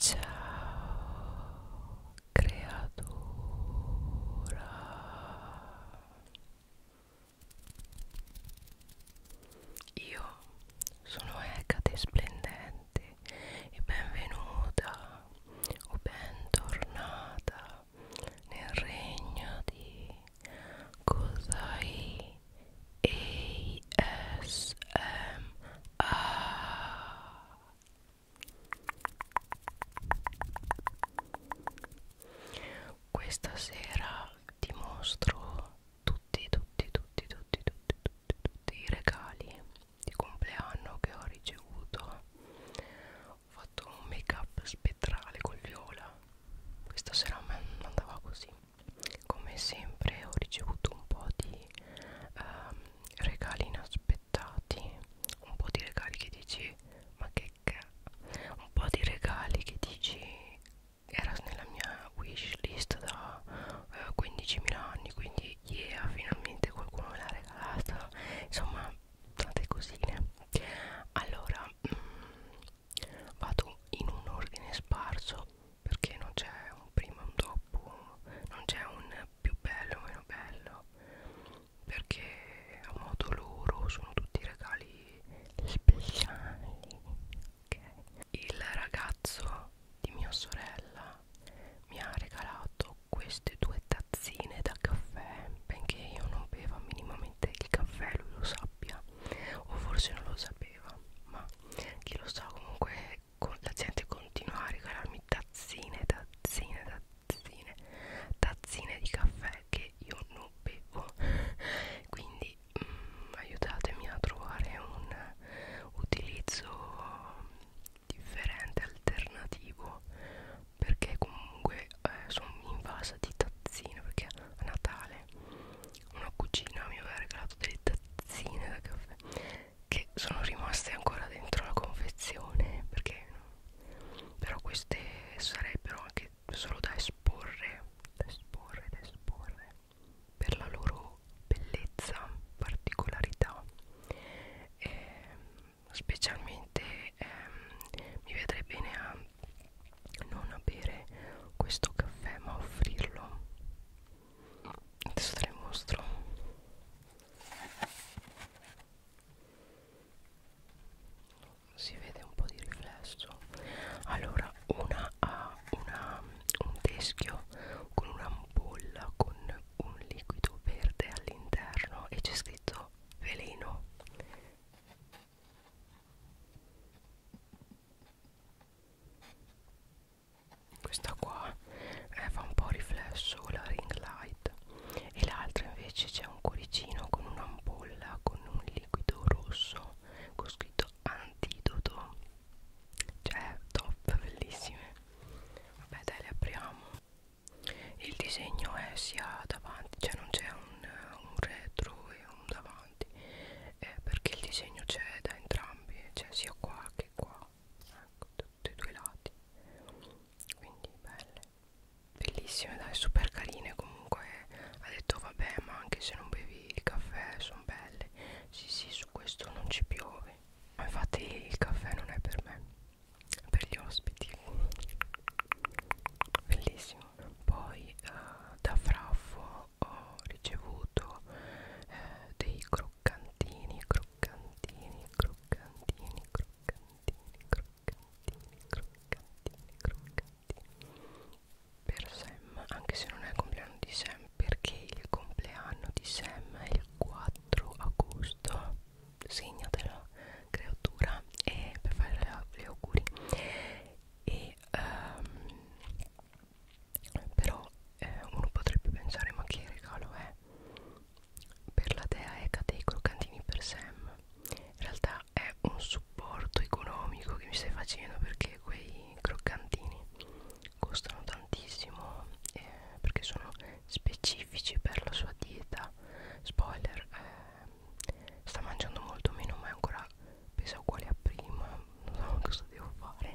Ciao creatura Io sono Ecate Splendente e benvenuta o bentornata nel regno di Kozai ASMR questa sera ti mostro tutti tutti tutti tutti tutti tutti tutti i regali di compleanno che ho ricevuto ho fatto un make up spettrale col viola questa sera a me non andava così come sempre ho ricevuto un po' di ehm, regali inaspettati un po' di regali che dici ma che cazzo un po' di regali che dici era nella mia wish list da eh, 15.000 anni quindi yeah finalmente qualcuno me l'ha regalata insomma tante cosine allora mh, mm, vado in un ordine sparso perché non c'è un prima e un dopo, non c'è un più bello o meno bello, perché a modo loro sono tutti regali speciali. Okay. Il ragazzo di mia sorella mi ha regalato queste due tazzine da caffè, benché io non beva minimamente il caffè, lui lo sappia, o forse non lo sapeva, ma chi lo sa comunque la gente continua a regalarmi tazzine, tazzine, tazzine, tazzine di caffè che io non bevo. Quindi mm, aiutatemi a trovare un utilizzo differente, alternativo, perché comunque eh, sono invasa di tazzine perché a Natale una cugina mi aveva regalato delle tazzine da caffè che sono rimaste ancora dentro la confezione perché però queste sarebbero anche solo da esporre da esporre da esporre per la loro bellezza particolarità e ehm, specialmente ehm, mi vedrei bene a non bere questo caffè ma offrirlo adesso te le mostro si vede un po' di riflesso allora una ha una, un teschio con un'ampolla con un liquido verde all'interno e c'è scritto veleno questa qua eh, fa un po' riflesso la ring light e l'altra invece c'è un cuoricino con un'ampolla con un liquido rosso con scritto antidoto cioè top bellissime vabbè dai le apriamo il disegno è sia davanti cioè non c'è un, un retro e un davanti eh, perché il disegno c'è da entrambi eh, c'è cioè sia qua che qua ecco tutti e due i lati quindi belle bellissime dai super carine comunque ha detto vabbè ma anche se non bevi il caffè sono belle sì sì su questo non ci piove ma infatti il caffè non è per me è per gli ospiti bellissimo poi uh, da fraffo ho ricevuto eh, dei croccantini, croccantini, croccantini, croccantini, croccantini, croccantini, croccantini per Sam, anche se non è il compleanno di Sam, perché il compleanno di Sam è il 4 agosto, segnatela creatura e per fare gli auguri e um, però eh, uno potrebbe pensare ma che regalo è per la dea Eca dei croccantini per Sam in realtà è un supporto economico che mi stai facendo perché quei croccantini costano tantissimo eh, perché sono specifici per la sua dieta spoiler eh, sta mangiando molto meno ma è ancora pesa uguale a prima non so cosa devo fare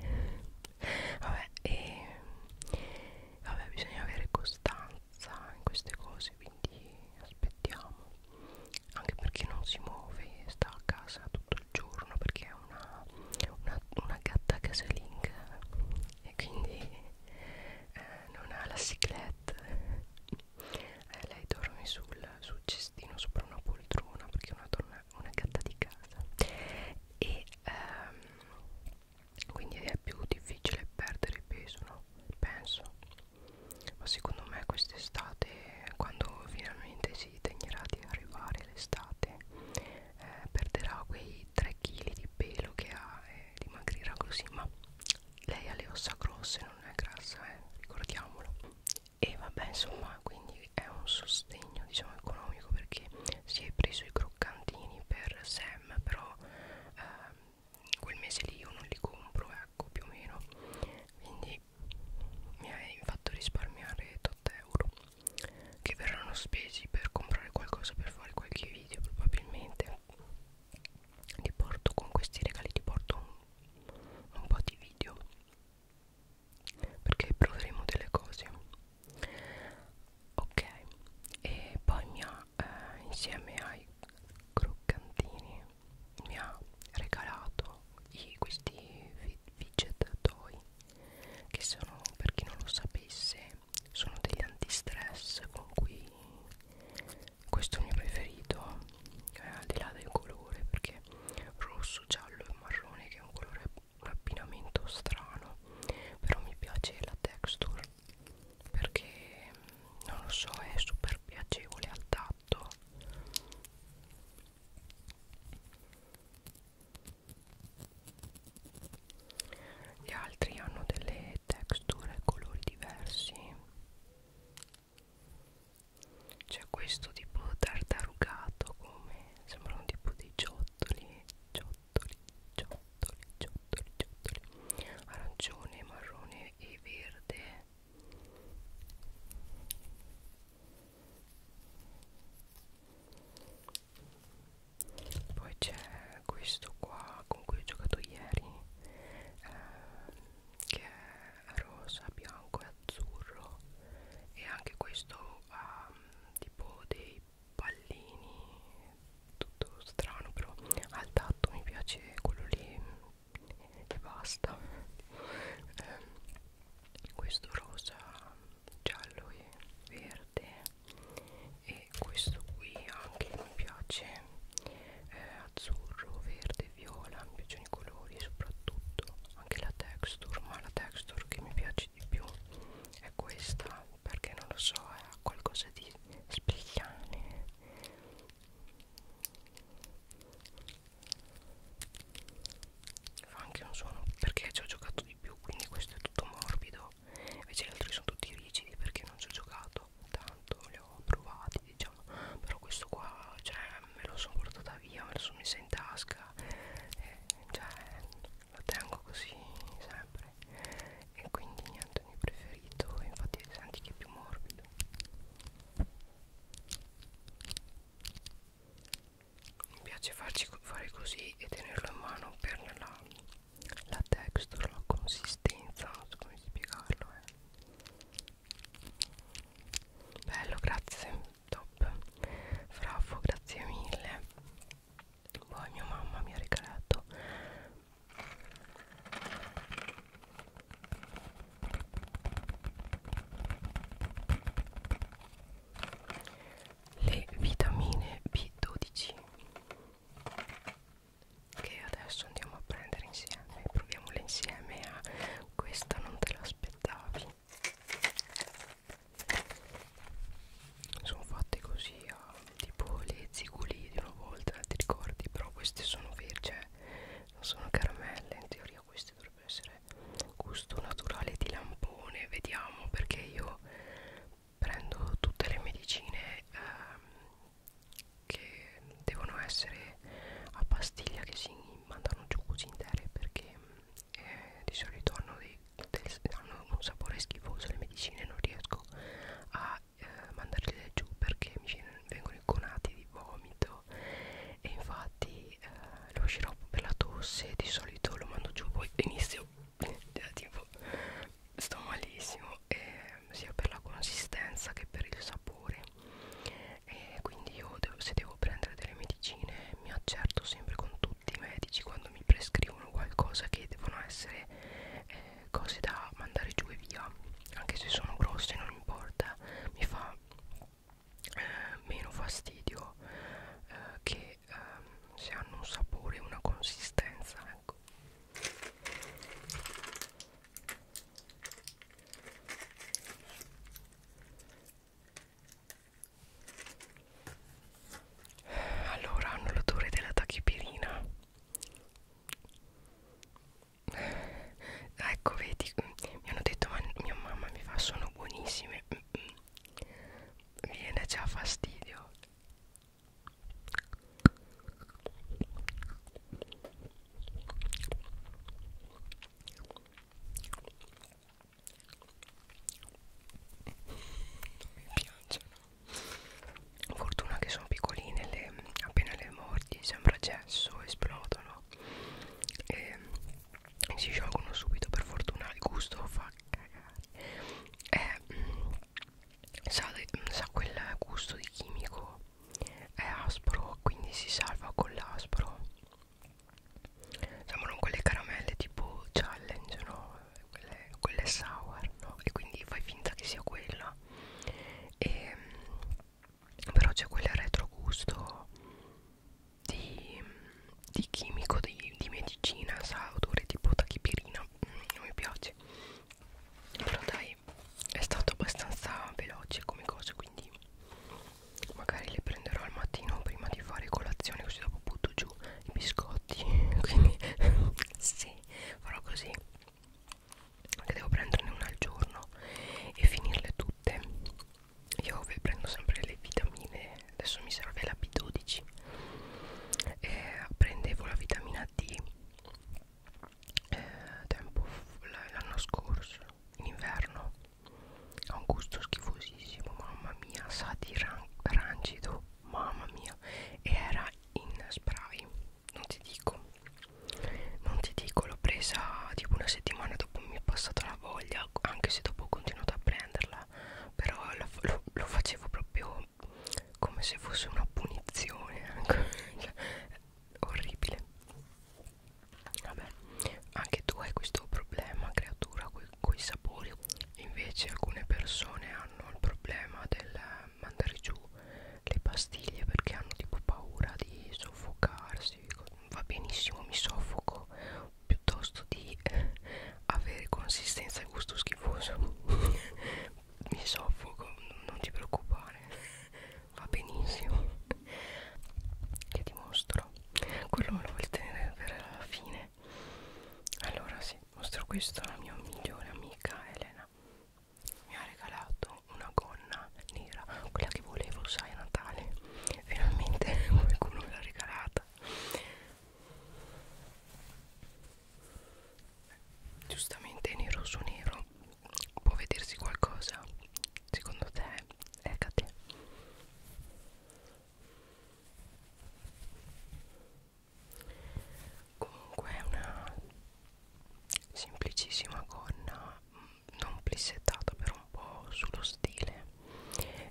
vabbè e vabbè bisogna avere costanza in queste cose quindi aspettiamo anche perché non si muove sta a casa tutto il giorno perché è una, una, una gatta casalinga e quindi eh, non ha la ciclette eh, lei dorme sul, sul cestino sopra una poltrona perché è una donna una gatta di casa e ehm, quindi è più difficile perdere peso no? penso ma secondo me quest'estate quando finalmente si degnerà di arrivare l'estate eh, perderà quei 3 kg di pelo che ha e dimagrirà così ma lei ha le ossa grosse non è grassa eh? ricordiamolo e vabbè insomma quindi è un sostegno diciamo economico perché si è preso i croccantini per Sam però eh, quel mese lì io non li compro ecco più o meno quindi mi hai fatto risparmiare 8 euro che verranno spesi per comprare qualcosa per fare qualche video probabilmente ti porto con questi regali ti porto un, un po' di video perché proveremo delle cose ok e poi mi ha eh, insieme ai croccantini mi ha regalato i, questi fidget toy che sono per chi non lo sapesse sono degli antistress con cui questo è il mio preferito eh, al di là del colore perché rosso giallo e marrone che è un colore un abbinamento strano però mi piace la texture perché non lo so è super piacevole al tatto gli altri hanno delle texture e colori diversi c'è questo tipo tartarugato come sembrano tipo dei ciottoli ciottoli ciottoli ciottoli ciottoli arancione marrone e verde poi c'è questo qua con cui ho giocato ieri eh, che è rosa bianco e azzurro e anche questo ha ehm, tipo dei pallini tutto strano però al tatto mi piace quello lì e basta ehm, questo rosa giallo e verde e questo qui anche mi piace eh, azzurro verde viola mi piacciono i colori soprattutto anche la texture ma la texture che mi piace piace di più è questa perché non lo so è qualcosa di spigliane fa anche un suono perché ci ho giocato di più quindi questo è tutto morbido invece gli altri sono tutti rigidi perché non ci ho giocato tanto li ho provati diciamo però questo qua cioè me lo sono portata via, me lo sono messa in tasca, eh, cioè lo tengo così sempre e quindi niente, il mio preferito, infatti senti che è più morbido. Mi piace farci fare così e tenerlo in mano per la, la texture, la consistenza, non so come spiegarlo. Eh. Bello, grazie top fraffo grazie mille poi mia mamma mi ha regalato le vitamine B12 che adesso andiamo a prendere insieme proviamole insieme a questa non te l'aspettavi sono fatte così ah, tipo le ziguli di una volta ti ricordi però queste sono verdi cioè non sono caramelle in teoria queste dovrebbero essere gusto naturale di lampone vediamo perché io prendo tutte le medicine ehm, che devono essere a pastiglia che si mandano giù così intere perché mh, mm, eh, di solito hanno, dei, del, hanno un sapore schifoso le medicine non riesco a eh, mandarle giù perché mi vengono inconati di vomito e infatti eh, lo sciroppo per la tosse di solito lo mando giù poi inizio cioè, tipo sto malissimo eh, sia per la consistenza che per il sapore e quindi io devo, se devo devo prendere delle medicine mi accerto sempre con tutti i medici quando mi prescrivono qualcosa che devono essere eh, cose da mandare giù e via anche se sono grosse non importa mi fa eh, meno fastidio eh, che ehm, se hanno un sapore e una consistenza ecco allora hanno l'odore della tachipirina ah, ecco vedi mi hanno detto ma mia mamma mi fa sono buonissime viene già fastidio non mi piacciono fortuna che sono piccoline le, appena le mordi sembra gesso esplodono e si sciolgono subito per fortuna il gusto fa cagare eh, mm, sa, mm, sa quel gusto di chimico è aspro quindi si salva con l'aspro sembrano quelle caramelle tipo challenge no quelle, quelle sour no e quindi fai finta che sia quella e, mm, però c'è quel retrogusto di, di chimico di, di medicina sa odore tipo tachipirina mm, non mi piace però dai è stato abbastanza veloce come cosa quindi magari le prenderò al mattino prima di fare colazione così dopo butto giù i biscotti quindi sì farò così che devo prenderne una al giorno e finirle tutte io vi prendo sempre le vitamine adesso mi serve la B12 eh, prendevo la vitamina D eh, tempo l'anno scorso in inverno ha un gusto schifosissimo mamma mia sa di ran rancido mamma mia e era in spray non ti dico non ti dico l'ho presa tipo una settimana dopo mi è passata la voglia anche se dopo ho continuato a prenderla però la, lo, lo facevo proprio come se fosse una punizione ecco. orribile Vabbè, anche tu hai questo problema, creatura, con i sapori. Invece alcune persone hanno il problema del mandare giù le pastiglie perché hanno tipo paura di soffocarsi. Va benissimo, mi soffoco piuttosto di eh, avere consistenza e gusto schifoso. mi soffoco, non ti preoccupare, va benissimo. Che ti mostro? quello lo vuol tenere per la fine allora sì mostro questo alla mia migliore amica Elena mi ha regalato una gonna nera quella che volevo sai a Natale finalmente qualcuno me l'ha regalata giustamente nero su nero può vedersi qualcosa secondo te eccate comunque è una semplicissima gonna mm, non plissettata per un po' sullo stile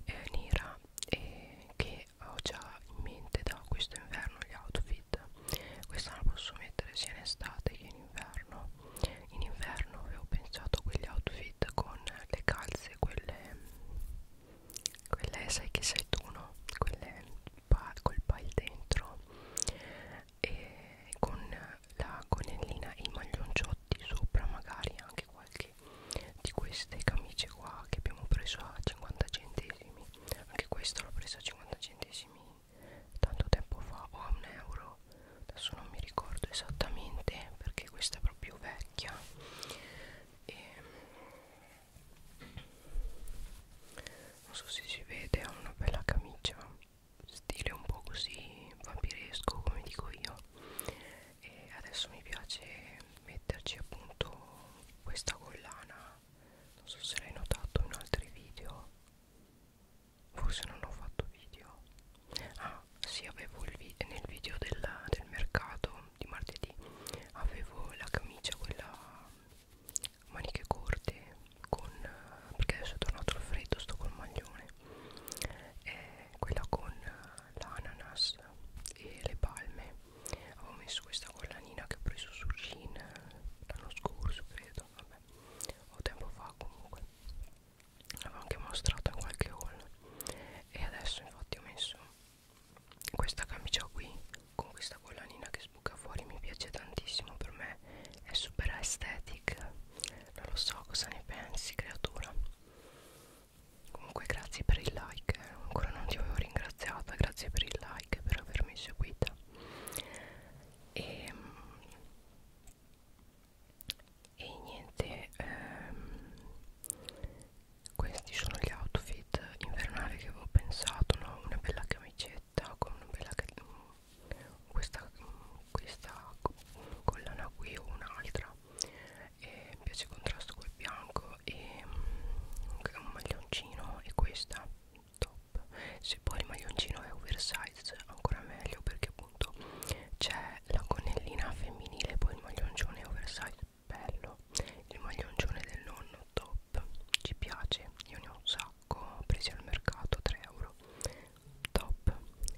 eh, nera e che ho già in mente da questo inverno gli outfit questa la posso mettere sia in estate che in inverno in inverno avevo pensato a quegli outfit outfit con le calze quelle quelle sai che sei tu no? quelle pa col pile dentro e con la gonnellina e i maglionciotti sopra magari anche qualche di queste camicie qua che abbiamo preso a 50 centesimi anche questo l'ho preso a 50 centesimi tanto tempo fa o a un euro adesso non mi ricordo esattamente perché questa è proprio vecchia e non so se si vede ha una bella camicia stile un po' così vampiresco come dico io e adesso mi piace metterci appunto questa collana non so se l'hai notato in altri video forse non ho fatto video ah sì avevo il vi nel video del, del mercato di martedì avevo la camicia quella mm, maniche corte con perché adesso è tornato il freddo sto col maglione eh, quella con eh, l'ananas e le palme avevo messo questa collanina che ho preso su Shein eh, l'anno scorso credo vabbè o tempo fa comunque l'avevo anche mostrata in qualche haul e adesso infatti ho messo questa camicia qui con questa collanina che sbuca fuori mi piace tantissimo per me è super aesthetic non lo so cosa ne pensi creatura comunque grazie per il like eh. ancora non ti avevo ringraziata grazie per il like per avermi seguita e ehm, e niente ehm, questi sono gli outfit invernali che avevo pensato no? una bella camicetta con una bella mm, questa, mm, questa collana qui o un'altra e mi piace il contrasto col bianco e mm, un maglioncino e questa top se poi il maglioncino è oversize ancora meglio perché appunto c'è la gonnellina femminile poi il maglioncione oversize bello il maglioncione del nonno top ci piace io ne ho un sacco presi al mercato 3 euro top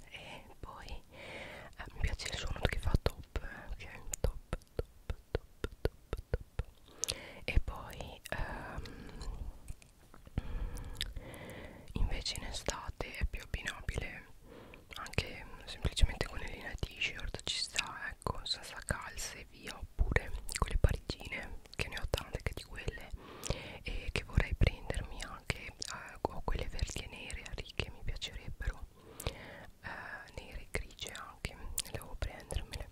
e poi eh, mi piace il suono che fa top eh, ok top top top top top e poi ehm, invece in estate è più abbinabile anche semplicemente con le linee t-shirt ci sta ecco senza calze e via oppure con le parigine che ne ho tante che di quelle e che vorrei prendermi anche eh, ho quelle verdi e nere a righe mi piacerebbero eh, nere e grigie anche devo prendermele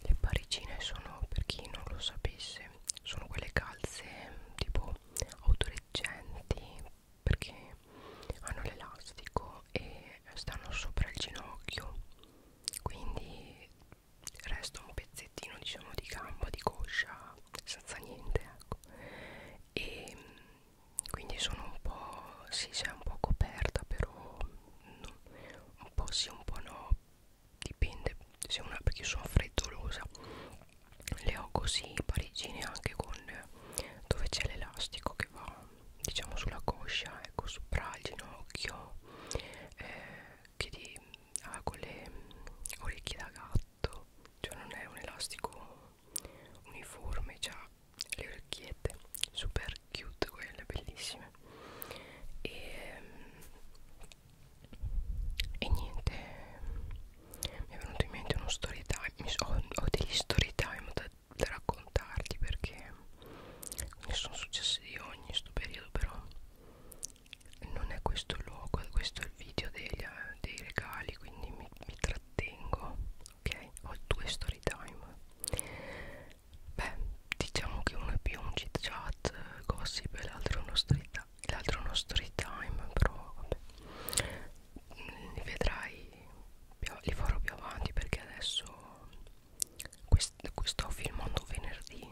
le parigine sono per chi non lo sapesse sono quelle calze tipo autoreggenti perché hanno l'elastico e stanno sopra il ginocchio quindi resta un pezzettino diciamo di gamba di coscia senza niente ecco e quindi sono un po' si sì, è un po' coperta però no, un po' sì un po' no dipende se una perché sono freddolosa le ho così parigine anche con dove c'è l'elastico che va diciamo sulla coscia ecco sopra il ginocchio eh, che di, ah, con le orecchie da gatto cioè non è un elastico uniforme c'ha le orecchiette super cute quelle bellissime e, e niente mi è venuto in mente uno story time mi so, ho, ho degli story time da, da raccontarti perché ne sono successi di ogni in questo periodo però non è questo il luogo questo è il video degli, dei regali quindi mi, mi trattengo ok ho due story time beh diciamo che uno è più un chit chat gossip e l'altro è uno story time l'altro è uno story time però vabbè li vedrai più, li farò più avanti perché adesso quest, sto filmando venerdì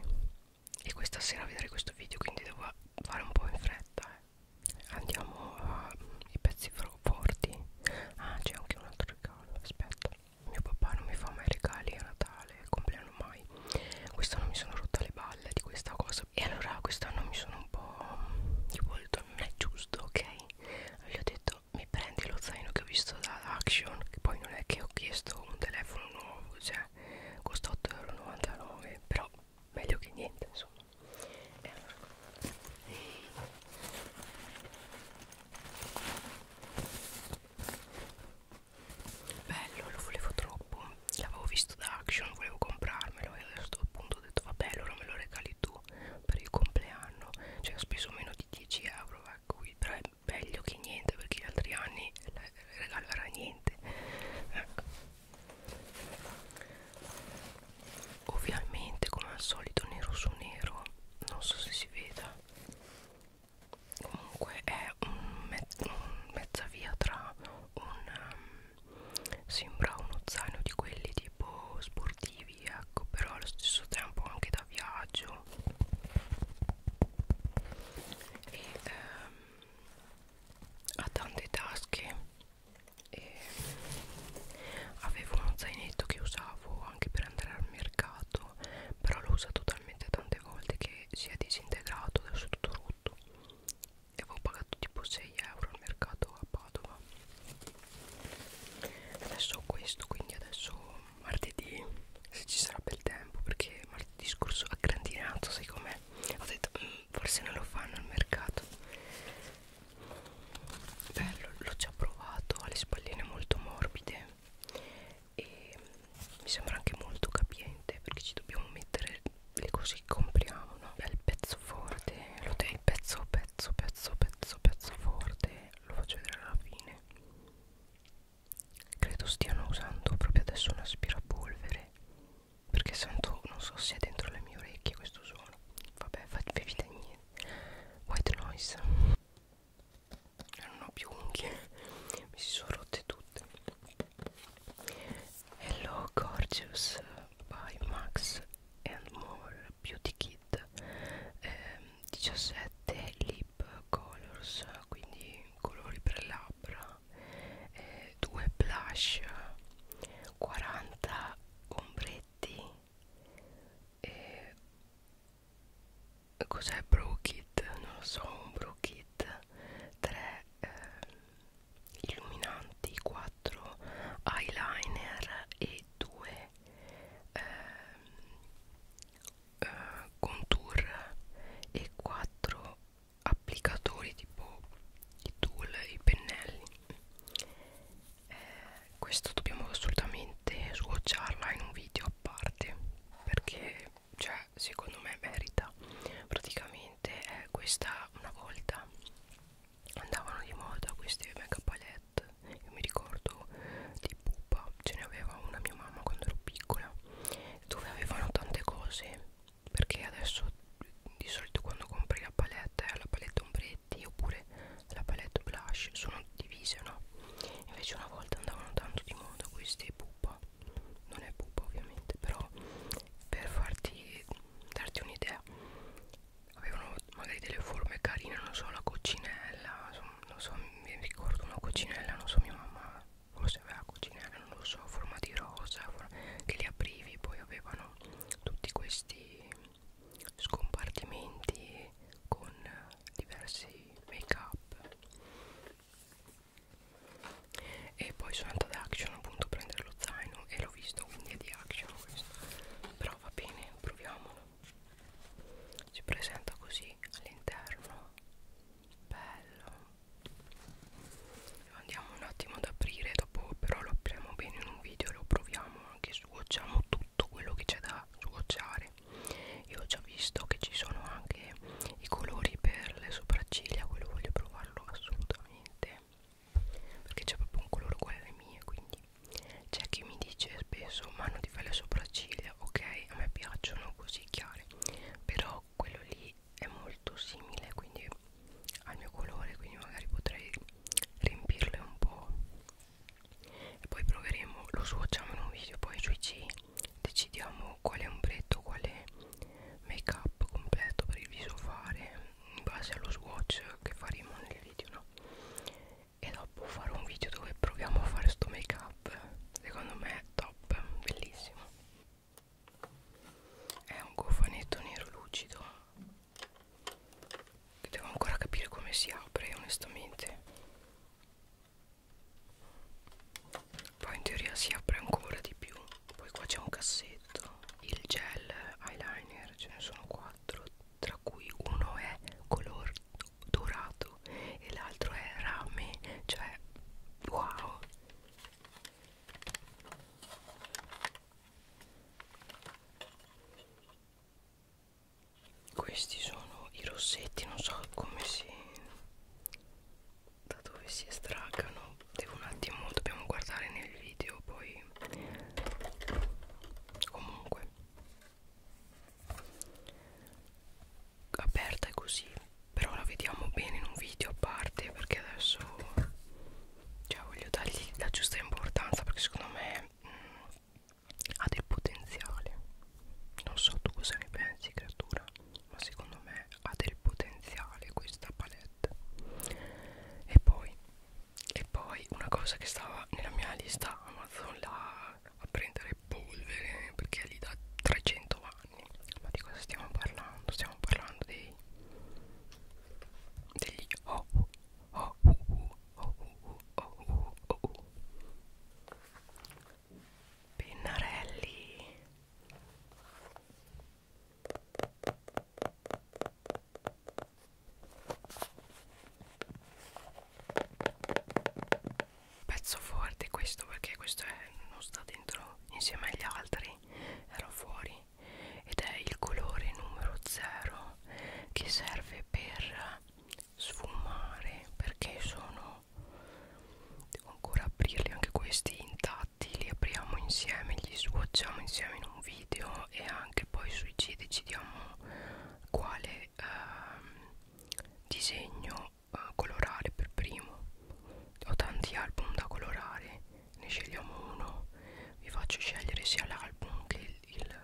e questa sera vedrai questo video quindi devo fare un po' in fretta eh. andiamo ai mm, pezzi forti ah c'è anche un altro regalo aspetta mio papà non mi fa mai regali a Natale compleanno mai quest'anno mi sono rotta le balle di questa cosa e allora quest'anno mi sono un po' mm, tipo volto non è giusto ok gli ho detto mi prendi lo zaino che ho visto da Action che poi non è che ho chiesto un telefono nuovo cioè costa 8,99€ però meglio che niente insomma e allora bello lo volevo troppo l'avevo visto da Action, volevo comprarmelo e a questo punto ho detto vabbè allora me lo regali tu per il compleanno, cioè ho speso meno di 10 euro ecco, però è meglio che niente perché gli altri anni regalerà niente ecco. Ovviamente come al solito nero su nero, non so se si veda Comunque è un me un mezza via tra un um, sembra uno zaino di quelli tipo sportivi ecco però allo stesso tempo anche da viaggio e ehm, ha tante tasche e avevo uno zainetto che usavo anche per andare al mercato però l'ho usato talmente tante volte che si è disintegrato adesso è tutto rotto e avevo pagato tipo 6 euro al mercato a Padova adesso ho questo quindi adesso martedì se ci sarà bel tempo perché martedì scorso a grandinato sai com'è ho detto mm, forse non lo fanno al mercato bello l'ho già provato ha le spalline molto morbide e mi sembra anche molto capiente perché ci dobbiamo mettere le così compriamo no? bel pezzo forte lo dai il pezzo pezzo pezzo pezzo pezzo forte lo faccio vedere alla fine credo stiano usando proprio adesso un aspirapolvere perché sento non so se è dentro le mie orecchie questo suono vabbè fatevi da niente white noise non ho più unghie mi si sono rotte tutte Hello Gorgeous by Max and More Beauty Kit eh, 17 lip colors quindi colori per labbra eh, 2 blush 40 ombretti eh, cos'è Brow Kit? non lo so un Brow Kit 3 eh, illuminanti 4 eyeliner e 2 eh, eh, contour e 4 applicatori tipo i tool i pennelli eh, questo dobbiamo assolutamente swatcharla in un video a parte perché cioè secondo me merita praticamente è questa una volta andavano di moda queste mega palette io mi ricordo di pupa ce ne aveva una mia mamma quando ero piccola dove avevano tante cose perché adesso di solito quando compri la palette eh, la palette ombretti oppure la palette blush sono divise no invece una volta andavano tanto di moda queste pupa non è pupa ovviamente però per farti darti un'idea idea cioè, avevano magari delle forme carine non so la coccinella non so mi ricordo una coccinella non so mia mamma forse aveva la coccinella non lo so forma di rosa for che li aprivi poi avevano tutti questi scompartimenti con diversi make up e poi sono andata ad action appunto a prendere lo zaino e l'ho visto quindi è di action questo però va bene proviamolo si presenta così all'interno bello andiamo un attimo ad aprire dopo però lo apriamo bene in un video lo proviamo anche sgocciamo tutto quello che c'è da sgocciare io ho già visto che ci sono anche i colori per le sopracciglia quello voglio provarlo assolutamente perché c'è proprio un colore uguale alle mie quindi c'è chi mi dice spesso ma non ti fai le sopracciglia ok a me piacciono così chiare però quello lì è molto simile quindi al mio colore quindi magari potrei riempirle un po' e poi proveremo lo swatchiamo in un video poi sui c decidiamo quale ombretto quale make up completo per il viso fare in base allo swatch che faremo nel video no e dopo farò un video dove proviamo a fare sto make up secondo me è top bellissimo è un cofanetto nero lucido che devo ancora capire come si apre onestamente poi in teoria si apre ancora di più poi qua c'è un cassetto il gel eyeliner ce ne sono quattro tra cui uno è color dorato e l'altro è rame cioè wow questi sono i rossetti non so come si da dove si estraccano devo un attimo dobbiamo guardare nel video poi comunque aperta è così però la vediamo bene in un video a parte perché adesso cioè voglio dargli la giusta importanza perché secondo me mh, mm, ha del potenziale non so tu cosa ne pensi creatura ma secondo me ha del potenziale questa palestra 7 e poi e poi una cosa che stava nella mia lista Amazon là a prendere polvere perché è lì da 300 anni ma di cosa stiamo parlando? stiamo parlando dei degli oh oh uh uh oh uh oh uh oh uh pennarelli Pezzo forte questo perché questo è, non sta dentro insieme agli altri, era fuori ed è il colore numero 0 che serve per sfumare perché sono devo ancora aprirli anche questi intanto fatti li apriamo insieme li swatchiamo insieme in un video e anche poi sui C decidiamo quale ehm, disegno eh, colorare per primo ho tanti album da colorare ne scegliamo uno vi faccio scegliere sia l'album che il, il,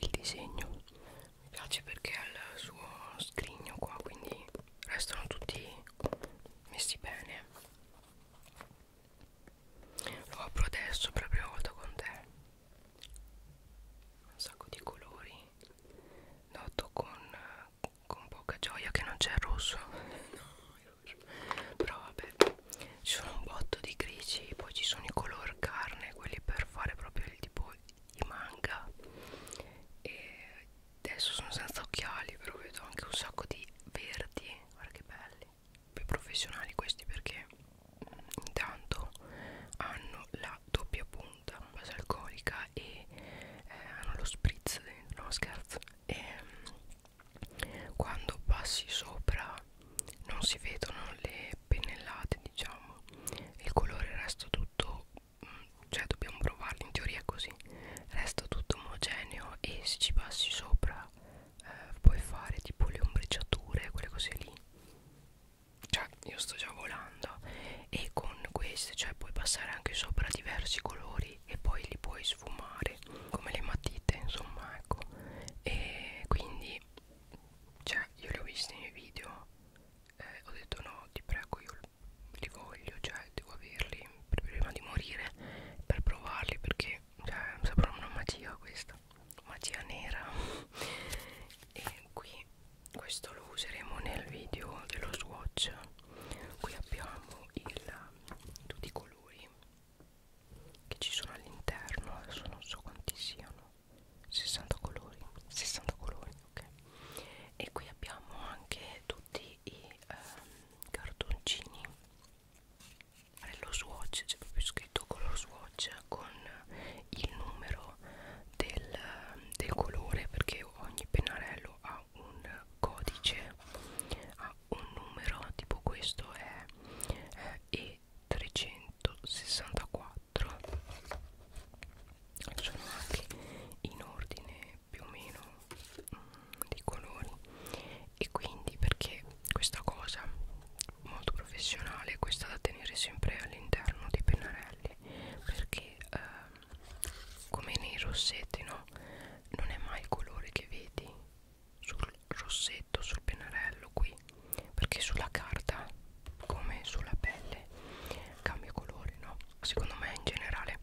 il disegno mi piace perché ha il suo scrigno qua quindi restano tutti messi bene lo apro adesso per la prima volta con te un sacco di colori noto con, con poca gioia che non c'è il rosso no, il rosso. però vabbè ci sono un botto di grigi poi ci sono i color carne quelli per fare proprio il tipo i manga e adesso sono senza occhiali però vedo anche un sacco di verdi guarda che belli più professionali questi perché intanto hanno la doppia punta base alcolica e eh, hanno lo spritz dentro, no scherzo e mm, quando passi sopra non si vedono le pennellate diciamo il colore resta tutto mm, cioè dobbiamo provarlo in teoria così resta tutto omogeneo e se ci passi sopra eh, puoi fare tipo le ombreggiature quelle cose lì cioè io sto già volando e con queste cioè puoi passare anche sopra diversi colori e poi li puoi sfumare come le matite insomma ecco e quindi cioè io li ho visti nei video eh, ho detto no ti prego io li voglio cioè devo averli prima di morire per provarli perché cioè sembra una magia questa magia nera e qui questo lo useremo nel video dello swatch qui abbiamo il, tutti i colori che ci sono all'interno adesso non so quanti siano 60 colori 60 colori ok e qui abbiamo anche tutti i ehm, cartoncini lo swatch c'è proprio scritto color swatch con il numero del, del colore perché ogni pennarello ha un codice ha un numero tipo questo è E364 sono anche in ordine più o meno dei colori e quindi perché questa cosa molto professionale questa da tenere sempre all'interno dei pennarelli perché eh, come nei rossetti no non è mai il colore che vedi sul rossetto sul pennarello qui perché sulla carta come sulla pelle cambia colore no secondo me in generale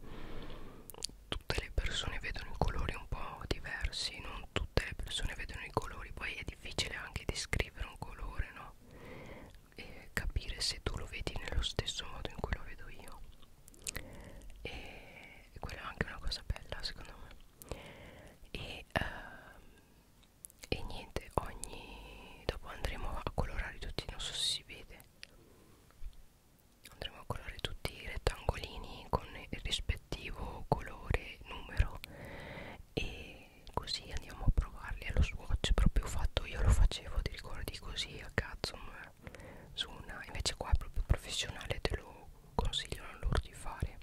tutte le persone vedono i colori un po' diversi non tutte le persone vedono i colori poi è difficile anche descrivere un colore no e capire se tu lo vedi nello stesso modo in cui lo vedo io e quella è anche una cosa bella secondo me e, uh, e niente ogni dopo andremo a colorare tutti non so se si vede andremo a colorare tutti i rettangolini con il rispettivo colore numero e così andiamo a provarli allo swatch proprio fatto io lo facevo ti ricordi così a cazzo su una invece qua è proprio professionale te lo consigliano loro di fare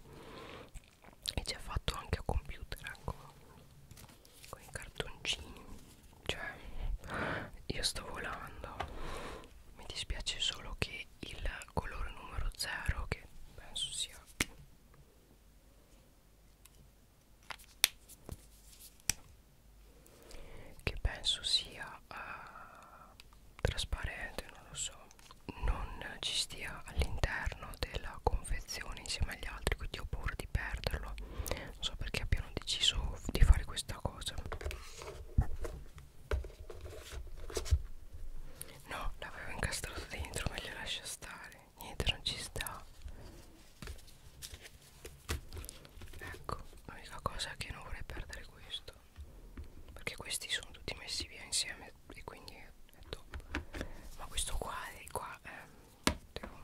e c'è fatto anche a computer ecco con i cartoncini cioè io sto volando mi dispiace solo che e il colore numero 0 che penso sia che penso sia uh, trasparente non lo so non ci stia all'interno della confezione insieme agli altri quindi ho paura di perderlo non so perché abbiano deciso di fare questa cosa No, l'avevo incastrato dentro, meglio lascia stare. Niente, non ci sta. Ecco, l'unica cosa è che non vorrei perdere questo. Perché questi sono tutti messi via insieme e quindi è, è top. Ma questo qua e qua eh, devo,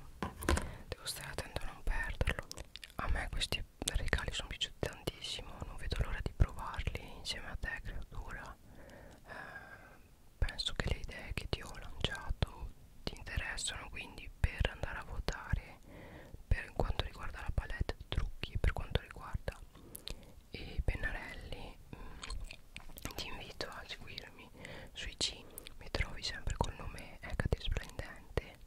devo stare attento a non perderlo. A me questi regali sono piaciuti tantissimo non vedo l'ora di provarli insieme a te creatura eh, penso che le idee che ti ho lanciato ti interessano quindi per andare a votare per quanto riguarda la palette trucchi per quanto riguarda i pennarelli mh, mm, ti invito a seguirmi sui c mi trovi sempre col nome Ecate Splendente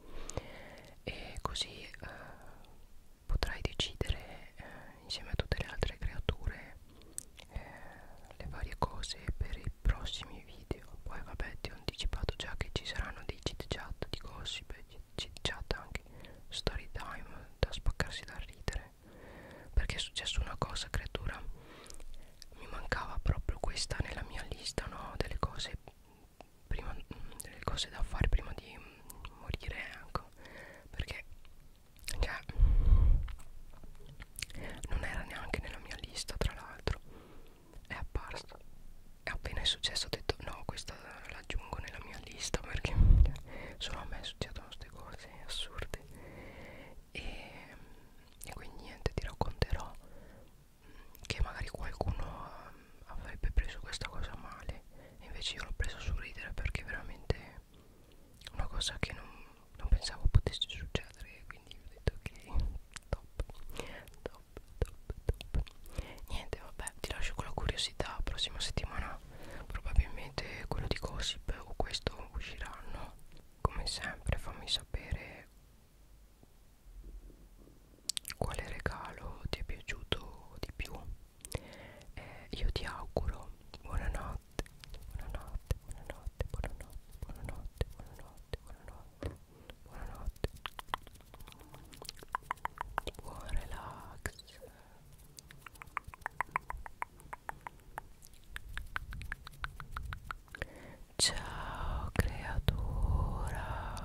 e così eh, potrai decidere eh, insieme a tutte le altre creature eh, le varie cose per i prossimi video poi vabbè ti ho anticipato già che ci saranno dei chit chat di gossip chit chat anche story time da spaccarsi da ridere perché è successo una cosa creatura mi mancava proprio questa nella mia lista no delle cose prima, delle cose da fare prima di morire ecco perché cioè, non era neanche nella mia lista tra l'altro è apparsa e appena è successo ho detto no questa l'aggiungo nella mia lista perché solo a me succedono queste cose assurde e, e quindi niente ti racconterò che magari qualcuno avrebbe preso questa cosa male invece io l'ho presa su ridere perché veramente una cosa che non, non pensavo potesse succedere quindi ho detto ok top top top top niente vabbè ti lascio con la curiosità la prossima settimana probabilmente quello di gossip o questo usciranno come sempre fammi sapere quale regalo ti è piaciuto di più eh, io ti auguro buonanotte buonanotte buonanotte buonanotte buonanotte buonanotte buonanotte buonanotte buon relax ciao creatura